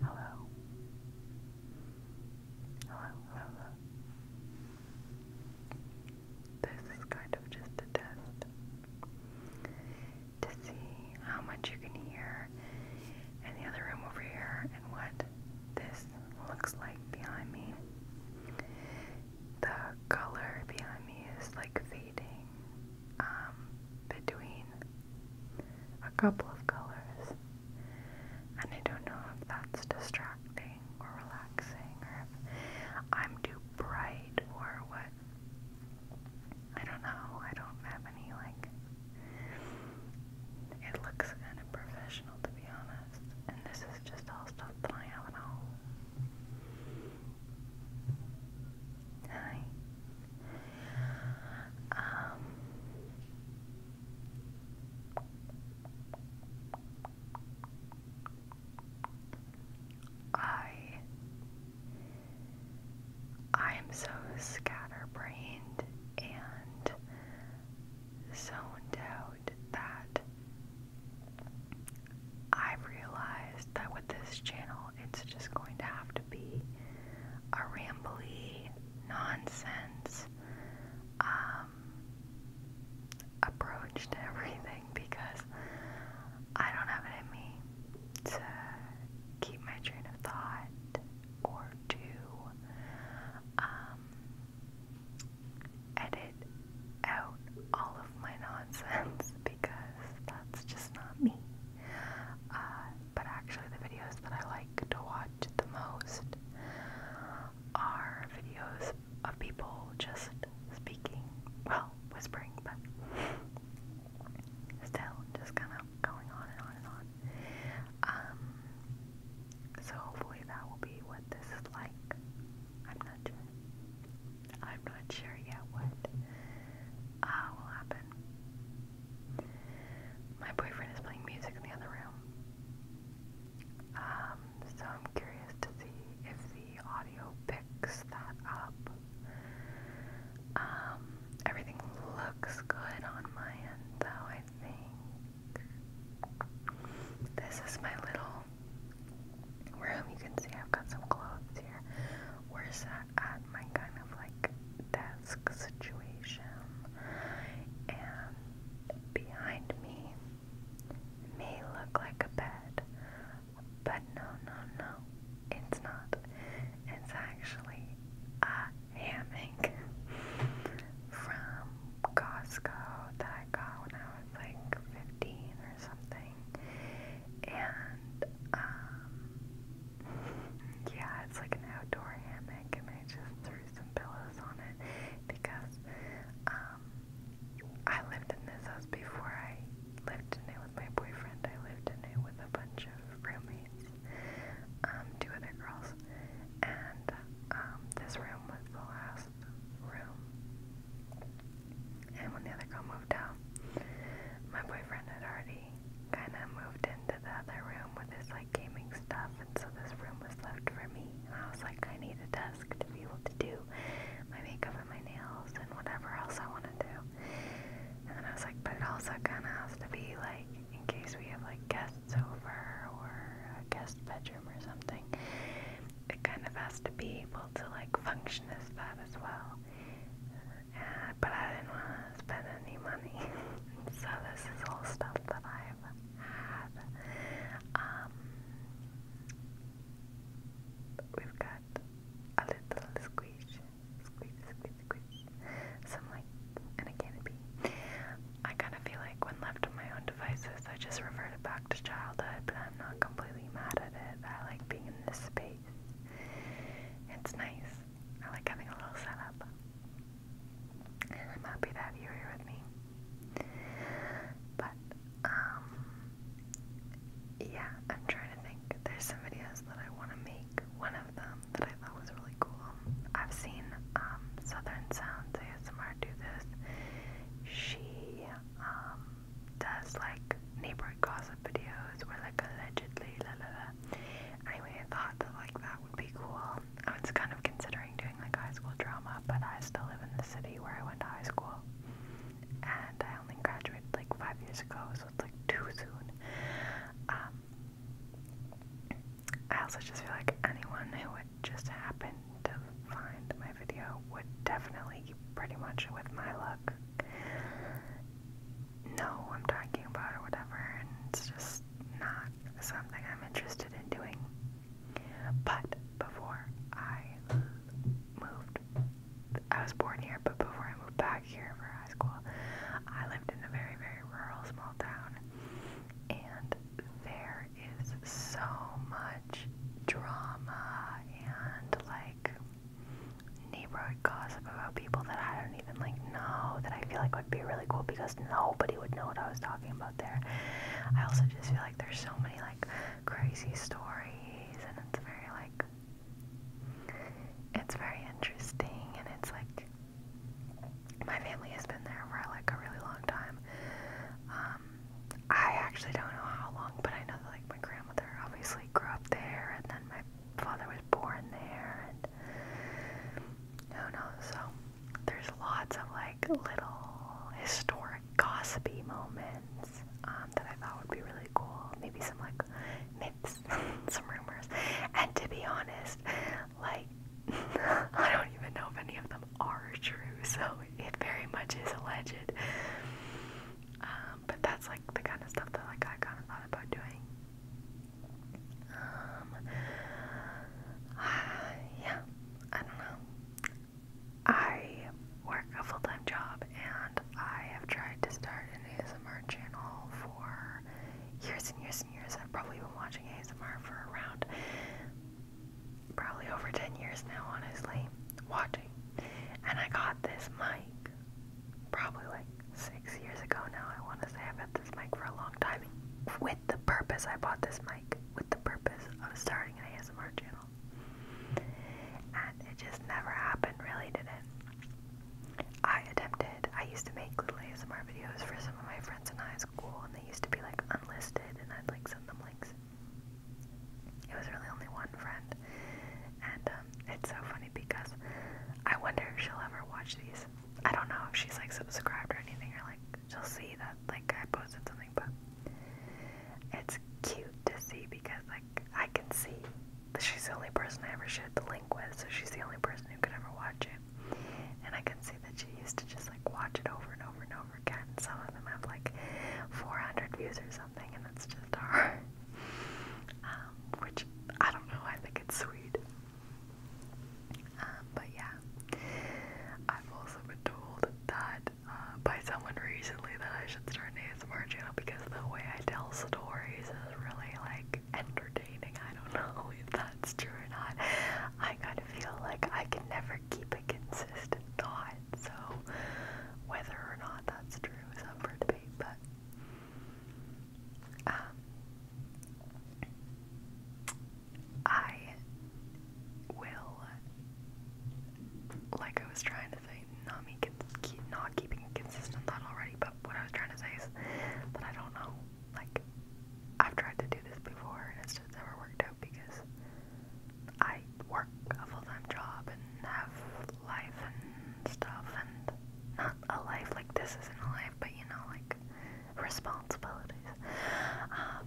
Hello. Hello, This is kind of just a test to see how much you can hear in the other room over here and what this looks like behind me. The color behind me is like fading um, between a couple of colors, and I don't know if that's distracting or relaxing, or if I'm too bright or what. I don't know. I don't have any like. It looks kind of professional to be honest, and this is just all stuff that I have at home. Hi. Um, I I am so scatterbrained and so out that I realized that with this channel, it's just going to have to be a rambly, nonsense um, approach to everything because I don't have it in me to keep my train of thought or to um, edit out all of my nonsense because that's just not me. Uh, but actually the videos that I like to watch the most are videos of people just speaking, well, whispering, but still just kind of going on and on and on. Um, so hopefully that will be what this is like. I'm not sure. I'm not sure yet what uh, will happen. My boyfriend is playing music in the other room. Um, so I'm curious to see if the audio picks that up. Um, everything looks good on my end though, I think. This is my little room. You can see I've got some clothes here. We're set at my kind of like desk situation, and behind me may look like a bed, but no, no, no, it's not. It's actually a hammock from Costco that I got when I was like 15 or something. And um, yeah, it's like an outdoor hammock, and I just threw some pillows on it because um, I lived in this house before I lived in it with my boyfriend. I lived in it with a bunch of roommates, um, two other girls, and um, this room was the last room. And when the other girl moved out, my boyfriend had already kind of moved into the other room with his like gaming stuff, and so this room was left for me. And I was like, I need a desk to be able to do my makeup and my nails and whatever else I want to do. And then I was like, but it also kind of has to be like in case we have like guests over or a guest bedroom or something. It kind of has to be able to like function as that as well. And uh, but I didn't want to spend any money. so this is all stuff that I've had. Um, we've got a little squish, squish, squish, squish. Some like and a canopy. I kind of feel like when left to my own devices, I just reverted back to childhood, but I'm not completely mad at it. I like being in this space. It's nice. I like having a little setup. I'm happy to have you here with me. But, um, yeah, I'm trying to think. There's some videos that I want to make. One of them that I thought was really cool. I've seen um, Southern Sounds ASMR do this. She um, does like neighborhood videos were like allegedly la la la. Anyway, I thought like that would be cool. I was kind of considering doing like high school drama, but I still live in the city where I went to high school. And I only graduated like five years ago, so it's like too soon. Um, I also just feel like anyone who would just happen to find my video would definitely, pretty much with my luck, know I'm talking about or whatever, and it's just not something I'm interested in doing. But before I moved, I was born here, but before I moved back here for high school, I lived in a very, very rural small town, and there is so much drama and like neighborhood gossip about people that I don't even like know that I feel like would be really cool because nobody would know what I was talking about there. I also just feel like there's so many like crazy stories and it's very like it's very interesting and it's like my family has been there for like a really long time. Um I actually don't know how long, but I know that like my grandmother obviously grew up there and then my father was born there, and who knows? So there's lots of like little historic gossipy moments um, that I thought would be really cool. Maybe some like myths, some rumors, and to be honest, like I don't even know if any of them are true. So it very much is alleged. Um, but that's like the kind of stuff that like I kind of thought about doing. Um, yeah, I don't know. I work a full time job and I have tried to start an ASMR channel for years and years and years. I've probably been watching ASMR for around probably over 10 years now, honestly. Watching. And I got this mic probably like six years ago now. I want to say I've had this mic for a long time. With the purpose, I bought this mic with the purpose of starting an ASMR channel. And it just never happened, really, did it? I attempted, I used to make little ASMR videos for some of my friends in high school, and they used to be like unlisted, and I'd like send them links. It was really only one friend, and um, it's so funny because I wonder if she'll ever watch these. I don't know if she's like subscribed or anything or like she'll see that like I posted something, but it's cute to see because like I can see that she's the only person I ever shared the link with, so she's the only person who could ever watch it. And I can see that she used to just like watch it over and over and over again. Some of them have like 400 views or something, and that's just hard. Um, which I don't know, I think it's sweet. Um, but yeah, I've also been told that uh, by someone recently that I should start an ASMR channel because the way I tell stories is really like entertaining. I don't know if that's true or not. I kind of feel like I can never keep a consistent thought, so whether or not that's true is up for debate. But um, I will, like I was trying to say, not me keep not keeping consistent that already. But what I was trying to say is that I don't know. Like I've tried to do this before, and it's just never worked out because I work a full time job and have life and stuff, and not a life like this isn't a life, but you know, like responsibilities. Um,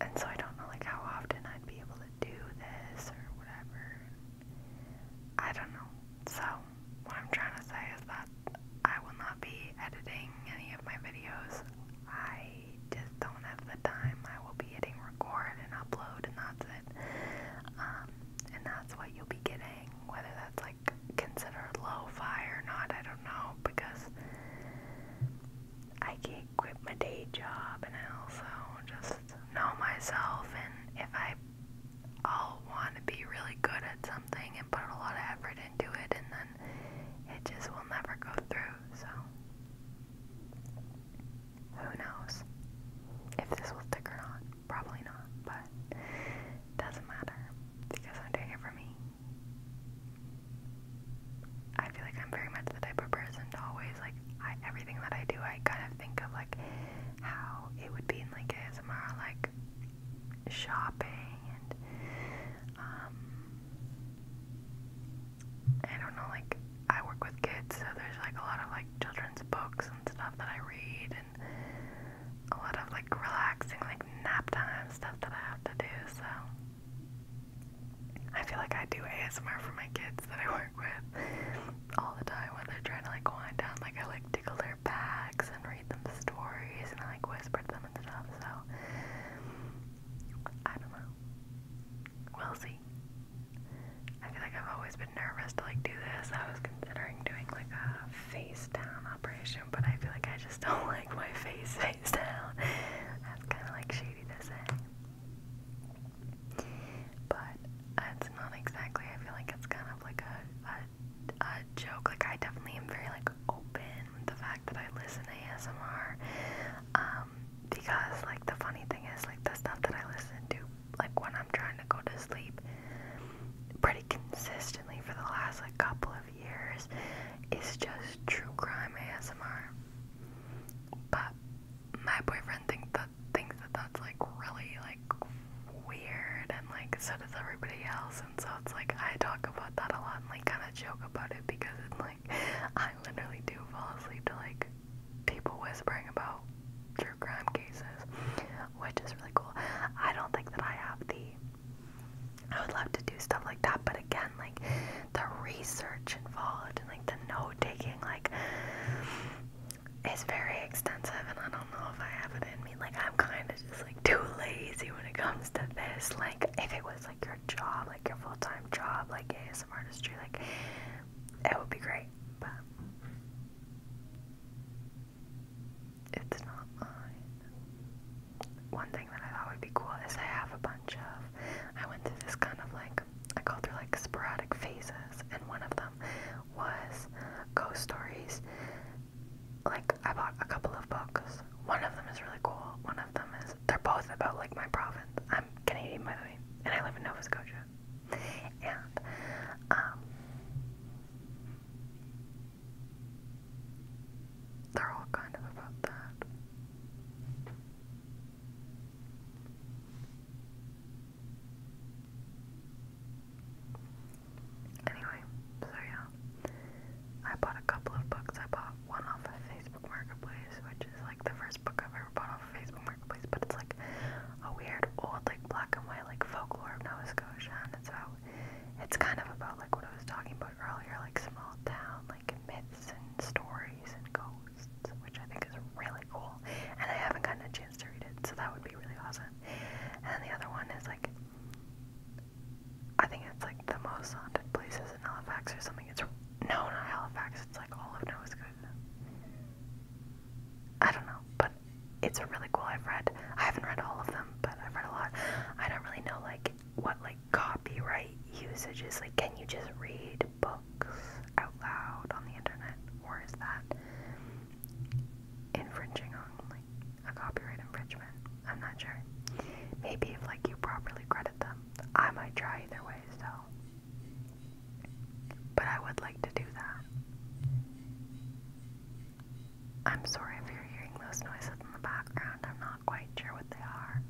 and so I don't know like how often I'd be able to do this or whatever. I don't know. So what I'm trying to say is that I will not be editing any of my videos. I just don't have the time. I will be hitting record and upload and that's it. Um, and that's what you'll be getting, whether that's considered lo-fi or not, I don't know, because I can't quit my day job and I also just know myself and if I I'll want to be really good at something and put a lot of effort into it and then it just will never go through, so who knows if this will stick or not. Probably not, but doesn't matter because I'm doing it for me. I feel like I'm very much the type of person to always like everything that I do I kind of think of like how it would be in like ASMR like shopping and um I don't know like I work with kids so there's like a lot of like children's books and stuff that I read and a lot of like relaxing, like nap time stuff that I have to do. So I feel like I do ASMR for my kids that I work with all the time when they're trying to like wind down. Like I like tickle their backs and read them stories and I like whisper to them and stuff. So I don't know. We'll see. I feel like I've always been nervous to like do this. I was considering doing like a face face down operation, but I feel like I just don't like my face face down. That's kind of like shady to say. But it's not exactly, I feel like it's kind of like a, a, joke. Like, I definitely am very, like, open with the fact that I listen to ASMR. Um, because, like, the funny thing is, like, the stuff that I listen to, like, when I'm trying to go to sleep, pretty consistently for the last like couple of years is just true crime ASMR. But my boyfriend thinks that thinks that that's like really like weird and like so does everybody else and so it's like I talk about that a lot and like kinda joke about it because it's like I literally do fall asleep to like people whispering about true crime cases which is really cool. I don't think that I have the I would love to do stuff like that, but again, like the research involved and like the note taking, like is very extensive, and I don't know if I have it in me. Like I'm kind of just like too lazy when it comes to this. Like if it was like your job, like your full time job, like ASM artistry, like it would be great, but it's not mine. One thing that I thought would be cool is I have a bunch of. I went through this kind of like I go through like sporadic phases, and one of them was ghost stories. Like I bought a couple of books. One of them is really cool. One of them is they're both about like my province. I'm Canadian by the way, and I live in Nova Scotia. And um they're all kind of about that. Anyway, so yeah. I bought a couple of books. I bought one off of Facebook Marketplace, which is like the first book I've ever bought off Facebook Marketplace, but it's like a weird old, like black and white, like folklore of Nova Scotia, and it's about it's kind of about like what I was talking about earlier, like small town, like myths and stories and ghosts, which I think is really cool. And I haven't gotten a chance to read it, so that would be really awesome. And the other one is like, I think it's like the most haunted places in Halifax or something. It's known not Halifax. It's like all of Nova Scotia. I don't know, but it's really cool. I've read, I haven't read all of them, but I've read a lot. I don't really know like what like copyright usage is. Like, can you just read books out loud on the internet, or is that infringing on like a copyright infringement? I'm not sure. Maybe if like you properly credit them, I might try either way. So, but I would like to do that. I'm sorry if you're hearing those noises in the background. I'm not quite sure what they are.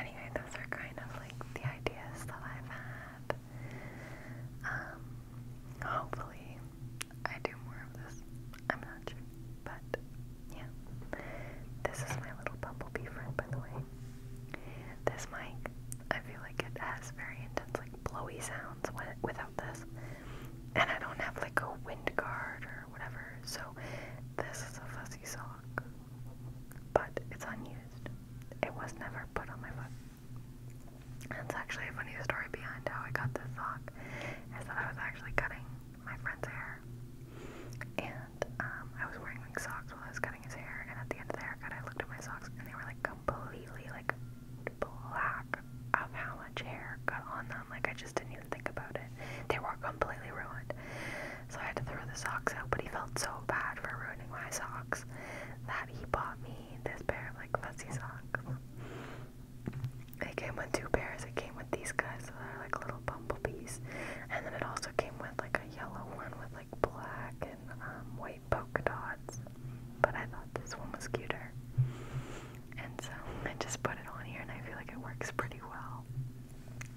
Anyway, those are kind of like the ideas that I've had. Um, hopefully, I do more of this. I'm not sure, but yeah. This is my little bumblebee friend, by the way. This mic, I feel like it has very intense like blowy sounds without this. And I don't have like a wind guard or whatever, so this is a fuzzy sock. But it's unused. It was never put on my foot. That's actually a funny story behind how I got this sock, is that I was actually cutting my friend's hair. And um, I was wearing like socks while I was cutting his hair, and at the end of the haircut, I looked at my socks and they were like completely like black of how much hair got on them. Like, I just didn't even think about it. They were completely ruined. So I had to throw the socks out, but he felt so bad for ruining my socks that he bought me this pair of like fuzzy socks. They came with two pairs. It came with these guys that are like little bumblebees. And then it also came with like a yellow one with like black and um, white white polka dots, but I thought this one was cuter. And so I just put it on here and I feel like it works pretty well.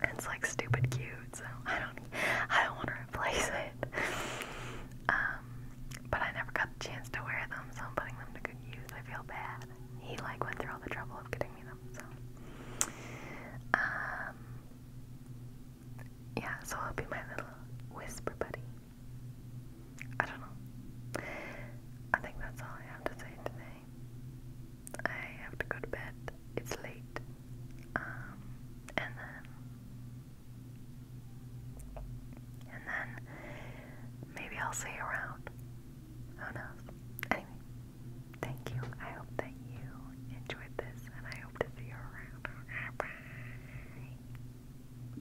It's like stupid cute, so I don't I don't want to replace it. Um, but I never got the chance to wear them, so I'm putting them to good use. I feel bad. He like went through all the trouble of getting me them, so um yeah, so it'll be my little whisper buddy. I don't know. I think that's all I have to say today. I have to go to bed. It's late. Um, and then, and then maybe I'll see you around. Who knows? Anyway, thank you. I hope that you enjoyed this, and I hope to see you around. Bye.